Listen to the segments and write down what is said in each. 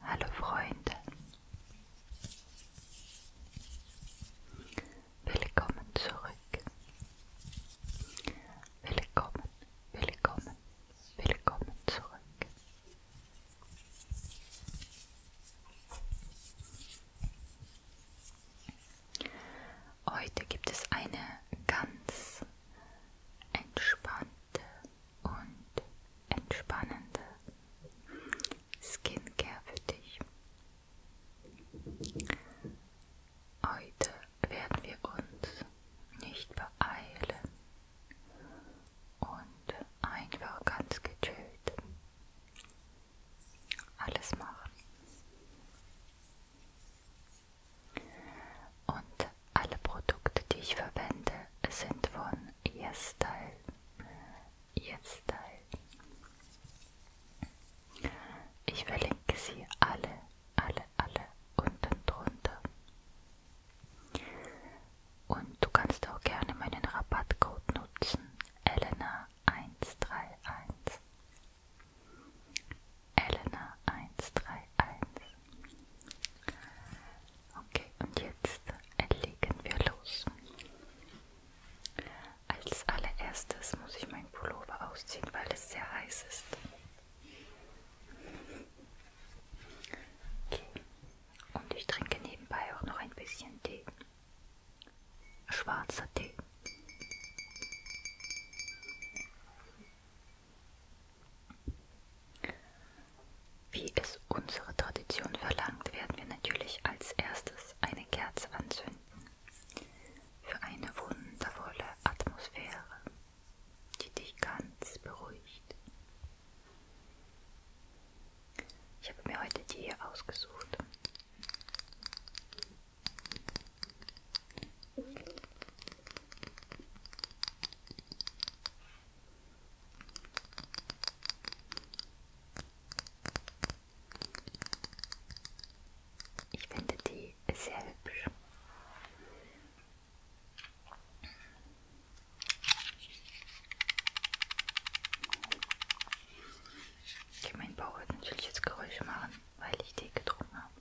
Hallo Freunde, willkommen zurück. Willkommen, willkommen, willkommen zurück. Heute gibt es eine ganz entspannte und entspannende Skincare für dich. Heute werden wir uns nicht beeilen und einfach ganz gechillt alles machen. Und alle Produkte, die ich verwende, sind von YesStyle. YesStyle. Ich verlinke sie alle, alle, alle unten drunter. Und du kannst auch gerne meinen Rabattcode nutzen, Elena131. Elena 131. Okay, und jetzt legen wir los. Als allererstes muss ich meinen Pullover ausziehen, weil es sehr heiß ist. Okay. Und ich trinke nebenbei auch noch ein bisschen Tee. Schwarzer Tee. Wie es unsere Tradition verlangt, werden wir natürlich als erstes eine Kerze anzünden. Für eine wundervolle Atmosphäre, die dich ganz beruhigt. Ich habe mir heute die hier ausgesucht. Ich finde die sehr hübsch. Ich meine, Bauch wird natürlich jetzt Geräusche machen weil ich Tee getrunken habe.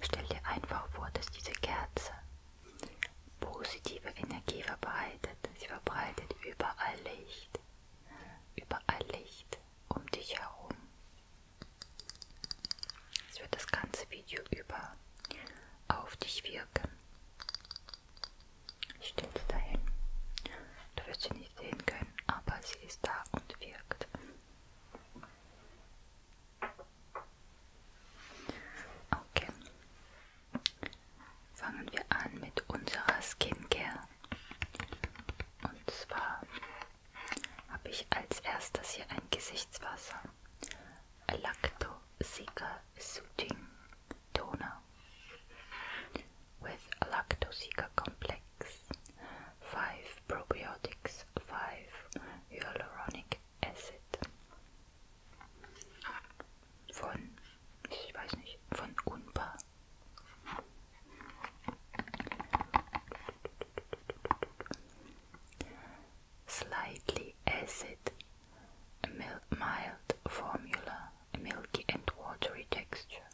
Stell dir einfach vor, dass diese Kerze positive Energie verbreitet. Sie verbreitet überall Licht, überall Licht um dich herum, es wird das ganze Video über auf dich wirken. Ich stelle sie dahin. Du wirst sie nicht sehen können, aber sie ist da und wirkt. Okay. Fangen wir an mit unserer Skincare. Und zwar habe ich als erstes hier ein Gesichtswasser. Lactosica Soothing Toner with Lactosica Complex, 5 Probiotics, 5 Hyaluronic Acid von, ich weiß nicht, von Unpa. slightly acid, mild formula, milky and watery texture,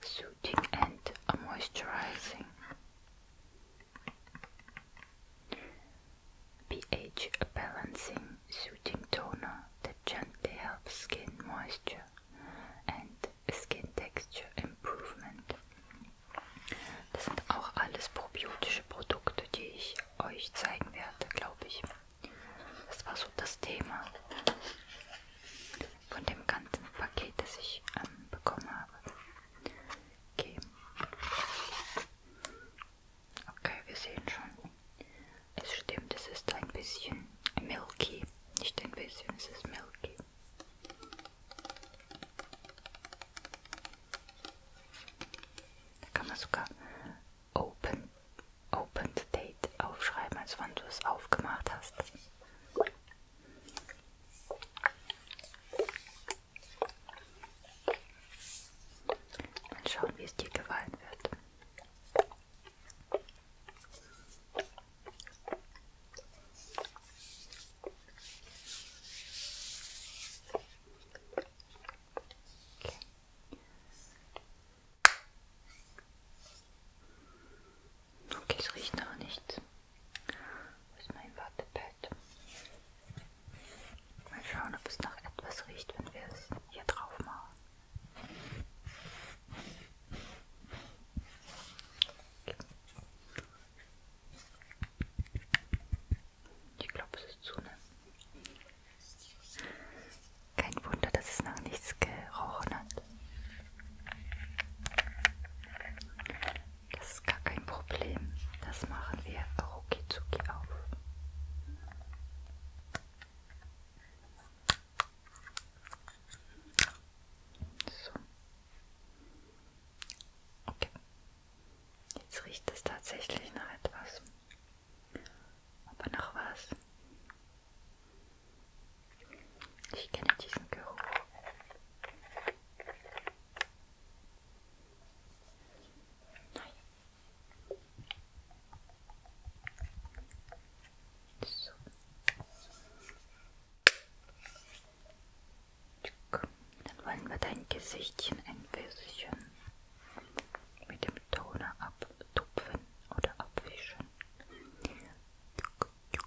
soothing and moisturizing. pH balancing soothing toner that gently helps skin moisture and skin texture improvement. Das sind auch alles probiotische Produkte, die ich euch zeigen werde, glaube ich. Das war so das Thema von dem ganzen Paket, das ich ähm, bekommen habe. Okay. okay, wir sehen schon. Es stimmt, es ist ein bisschen milky. Nicht ein bisschen, es ist milky. Da kann man sogar Open, Open Date aufschreiben, als wann du es aufgemacht hast. Mal schauen, wie es dir gefallen wird. Okay. Okay, es riecht noch nichts. Das ist mein Wattepad. Mal schauen, ob es nach etwas riecht, wenn wir es hier drauf machen. Okay. Ich glaube, es ist zu, ne? Kein Wunder, dass es nach nichts gerochen hat. Das ist gar kein Problem. Das machen wir rucki zucki auf. So. Okay. Jetzt riecht es tatsächlich nach etwas. Aber nach was? Ich kenne diesen Geruch. Nein. So. Dann wollen wir dein Gesichtchen ein bisschen mit dem Toner abtupfen oder abwischen. Gut,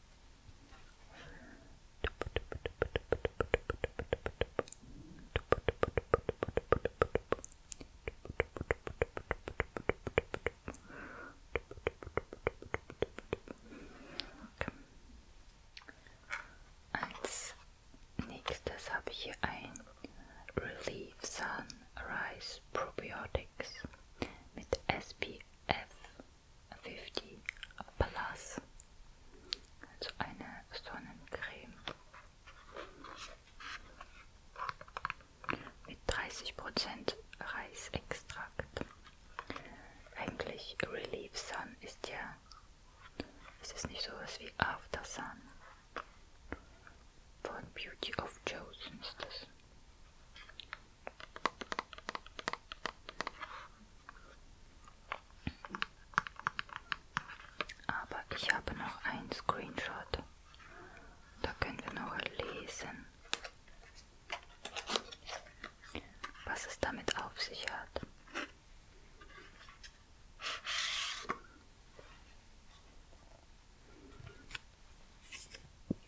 Okay. Als nächstes habe ich hier ein Relief Sunrise Probiotics mit SPF 50 Plus. Also eine Sonnencreme mit 30% Reisextrakt. Eigentlich Relief Sun ist ja, ist es nicht sowas wie After Sun von Beauty of Chosen ist das. Aber ich habe noch einen Screenshot. Da können wir noch lesen, was es damit auf sich hat.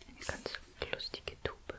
Eine ganz lustige Tube.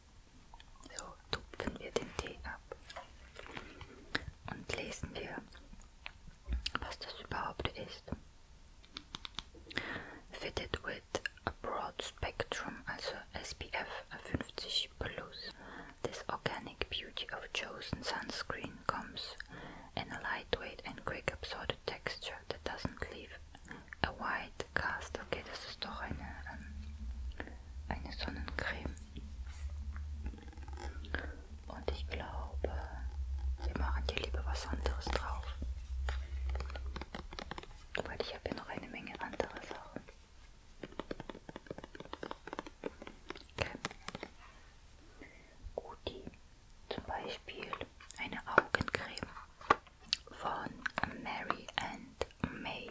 So tupfen wir den Tee ab und lesen wir, was das überhaupt ist. Fitted with a broad spectrum, also SPF 50 plus. This organic beauty of chosen sunscreen comes in a lightweight and quick absorbed texture that doesn't leave a white cast. Okay, das ist doch eine ähm, eine Sonnencreme. Und ich glaube, wir machen hier lieber was anderes drauf. Weil ich habe hier noch eine Menge andere Sachen. Okay. Guti, zum Beispiel eine Augencreme von Mary and May.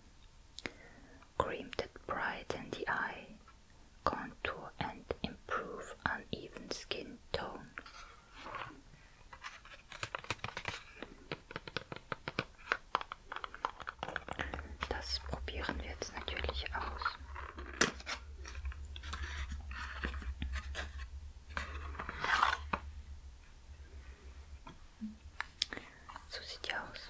Cream that brighten the eye, contour and improve uneven skin tone. Das probieren wir jetzt natürlich aus. So sieht die aus.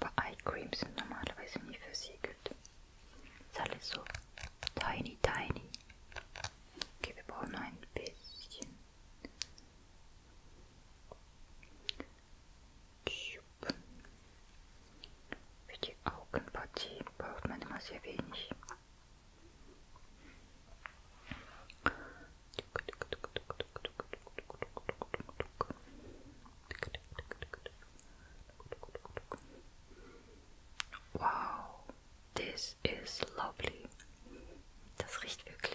Aber Eye Creams sind normalerweise nie versiegelt. Ist alles so tiny, tiny. Okay, wir brauchen noch ein bisschen. Für die Augenpartie braucht man immer sehr wenig. Wow, this is lovely. Das riecht good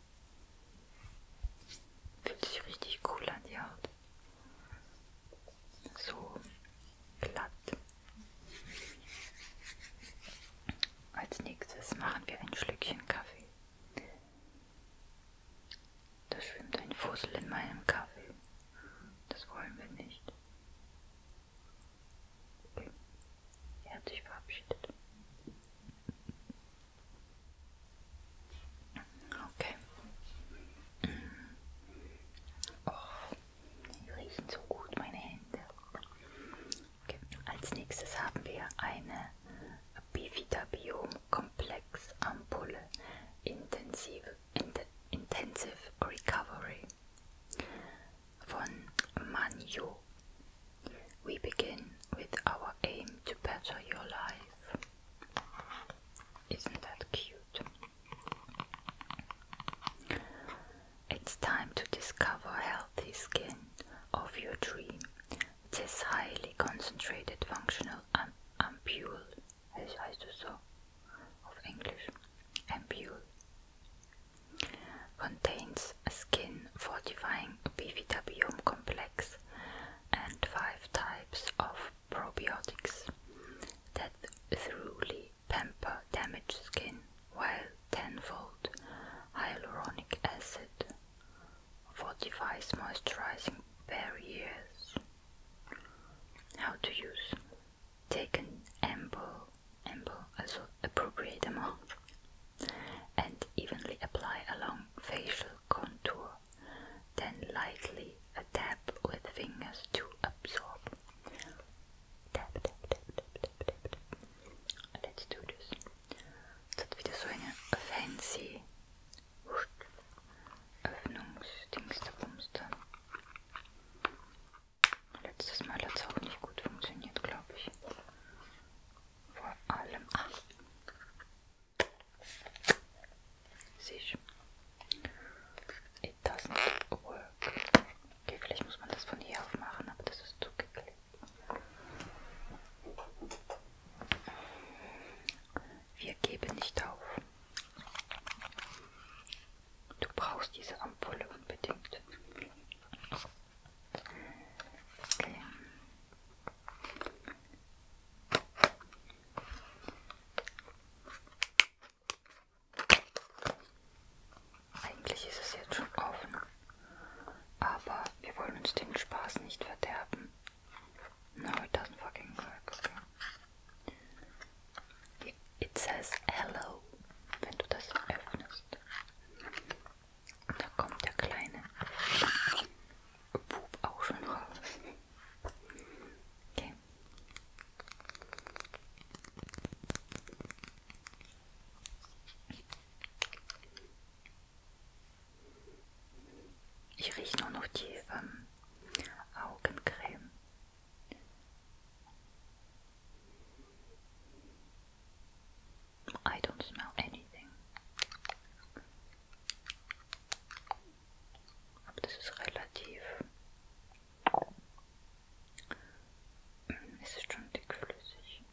Fühlt sich richtig cool an die Haut. So glatt. Als nächstes machen wir ein Schlückchen Kaffee. Da schwimmt ein Fussel in meinem Kaffee. Das wollen wir nicht. Okay. Er hat sich verabschiedet. Okay. Oh, die riechen so gut, meine Hände. Okay. Als nächstes haben wir eine Bivida Biom Komplex Ampulle Intensive, Int Intensive Recovery von Manjo We begin with our aim to better your life. Isn't that cute? It's time to discover healthy skin of your dream. This highly concentrated functional ampule, es heißt es so, of English, ampule, contains skin fortifying bifidobioum complex and five types of probiotics that thoroughly pamper damaged skin while tenfold hyaluronic acid fortifies moisturizing barriers. How to use? Take an ample, ample, also appropriate amount and evenly apply along facial contour, then lightly a tap with fingers to absorb. Tap, tap, tap, tap, tap, tap, tap. Let's do this. Das hat wieder so eine fancy Öffnungsdingsterbumster. Letztes Mal hat es auch nicht gut funktioniert, glaube ich vor allem an. Siehst It doesn't work. Okay, vielleicht muss man das von hier auf machen, aber das ist zugeklebt. Wir geben nicht auf. Du brauchst diese Ampulle unbedingt. Okay. Eigentlich ist es jetzt schon offen, aber wir wollen uns den Spaß nicht verderben. No, it doesn't fucking work. Okay. It says hello, wenn du das öffnest. Und da kommt der kleine Bub auch schon raus. Okay. Ich rieche nur noch die ähm, Augencreme. I don't smell anything. Aber das ist relativ. Es ist schon dickflüssig.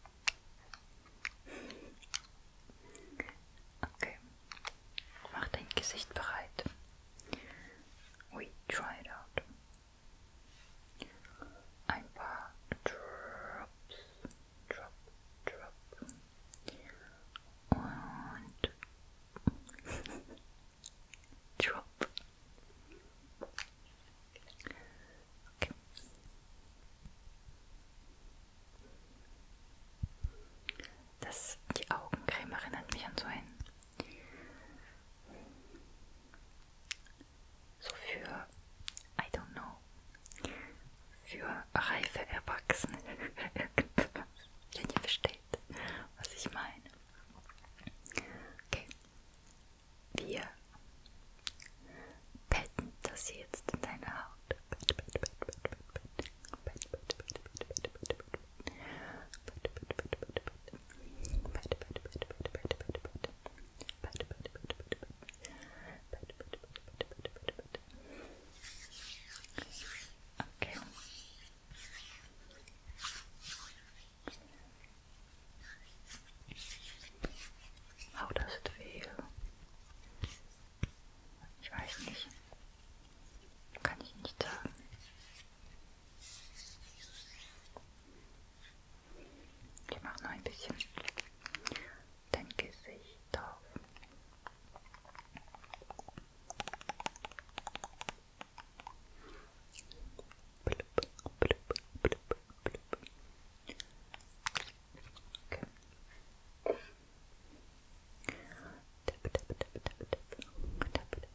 Okay. Mach dein Gesicht bereit. We try it out. Ein paar Drops drop, drop und drop. Okay. Das, die Augencreme erinnert mich an so ein so für, I don't know, für reife Erwachsene irgendwas, wenn ihr versteht, was ich meine. Okay, wir betten das jetzt in deine Haut. Bitte, bitte, bitte, bitte, bitte. Bitte, bitte, bitte, bitte, bitte, bitte. Okay. Oh, das ist weh. Ich weiß nicht. Kann ich nicht sagen. Ich mache noch ein bisschen dein Gesicht auf. Blub, blub, blub, blub. Okay. Tip, tip, tip, tip, tip. Tip, tip, tip, tip, tip, tip.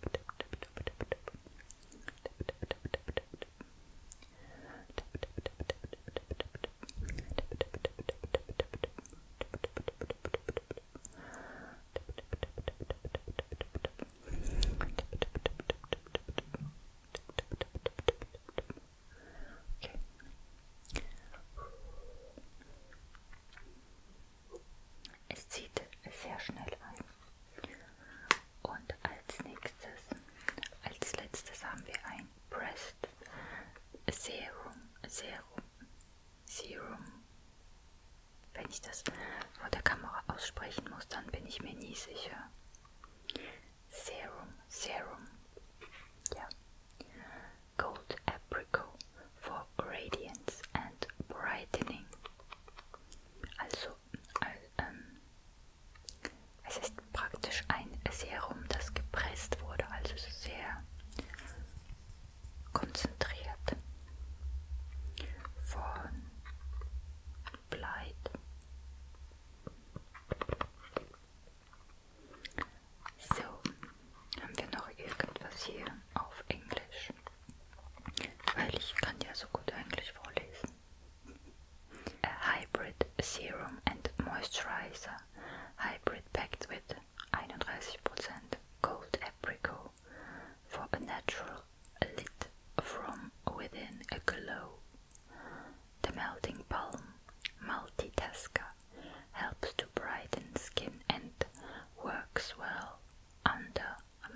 Tip, tip, tip, tip, tip. Es zieht sehr schnell ein. Und als nächstes, als letztes haben wir ein Breast Serum, Serum, Serum. Wenn ich das vor der Kamera aussprechen muss, dann bin ich mir nie sicher. Serum, Serum. Ja. Gold Apricot for Radiance and Brightening. Also, äh, ähm, es ist praktisch ein Serum, das gepresst wurde, also sehr konzentriert von Bleit. So, haben wir noch irgendwas hier auf Englisch? Weil ich kann ja so gut Englisch vorlesen. a hybrid serum and moisturizer hybrid packed with 31% cold apricot for a natural lit from within a glow. The melting palm multitasker helps to brighten skin and works well under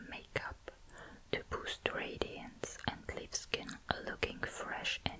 makeup to boost radiance and leave skin looking fresh and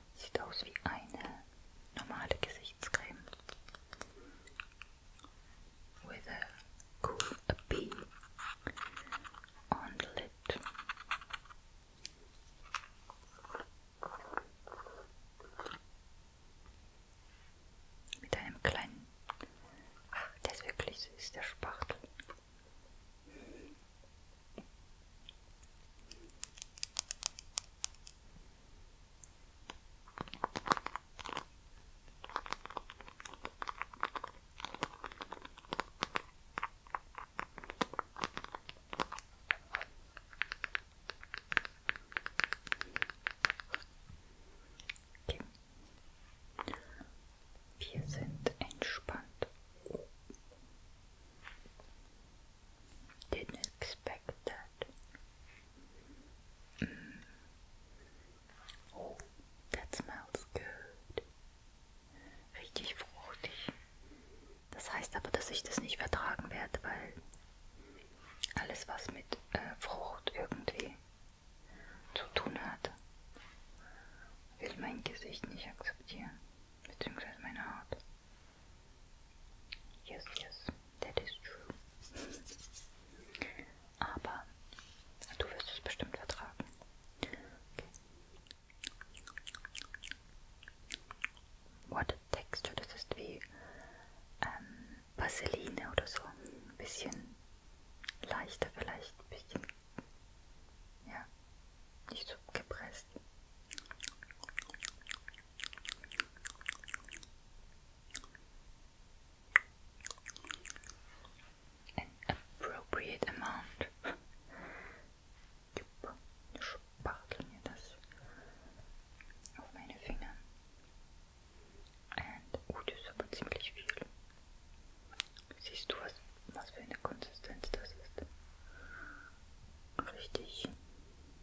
Sieht aus wie eine normale Gesichtscreme. With a cool a bee on the lid. Mit einem kleinen. Ach, der ist wirklich süß, der Spachtel. Okay. Wir sind entspannt. Didn't expect that. Mm. Oh, that smells good. Richtig fruchtig. Das heißt aber, dass ich das nicht vertragen werde, weil alles, was mit äh, Frucht irgendwie zu tun hat, will mein Gesicht nicht akzeptieren, beziehungsweise meine Haut. Yes, yes, that is true. Aber du wirst es bestimmt vertragen. Okay. What a texture, das ist wie ähm, Vaseline oder so. Ein bisschen leichter vielleicht, ein bisschen, ja, nicht so gepresst. An appropriate amount. Jupp, spartel mir das auf meine Finger. Und, oh, das ist aber ziemlich viel. Siehst du, was, was für eine Konsistenz das ist? Richtig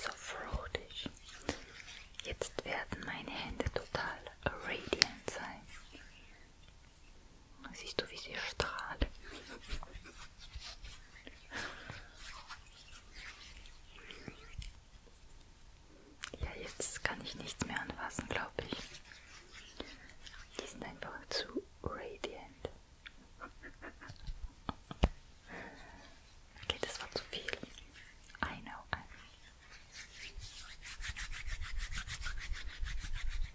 So freudig. Jetzt werden meine Hände total radiant sein. Siehst du, wie sie strahlt? Ja, jetzt kann ich nichts mehr anfassen, glaube ich. Die sind einfach zu radiant. Okay, das war zu viel. I know.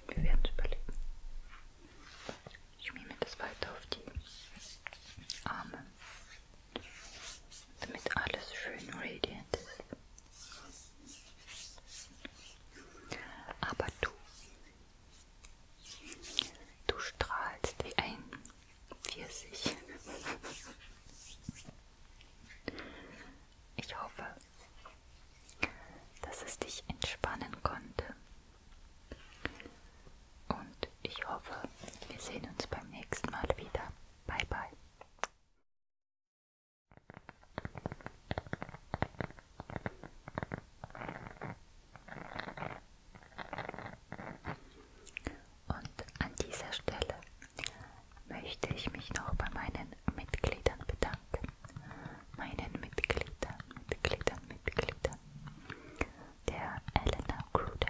Wir werden es überleben. Ich schmier mir das weiter auf die Arme damit alles schön radiant ist. Aber du, du strahlst wie ein Pfirsich. Ich hoffe, dass es dich entspannen konnte. Und ich hoffe, wir sehen uns beim nächsten Mal wieder. Bye, bye. Und an dieser Stelle möchte ich mich noch bei meinen Mitgliedern bedanken. Meinen Mitgliedern, Mitgliedern, Mitgliedern. Der Elena Gruder,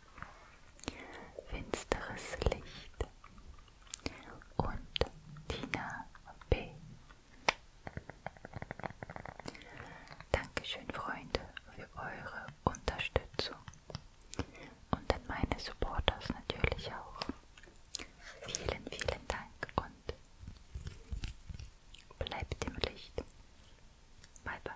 Finsteres Licht und Tina B. Dankeschön, Freunde, für eure Unterstützung und an meine Supporters natürlich auch. Vielen, vielen Dank und bleibt im Licht. Bye, bye.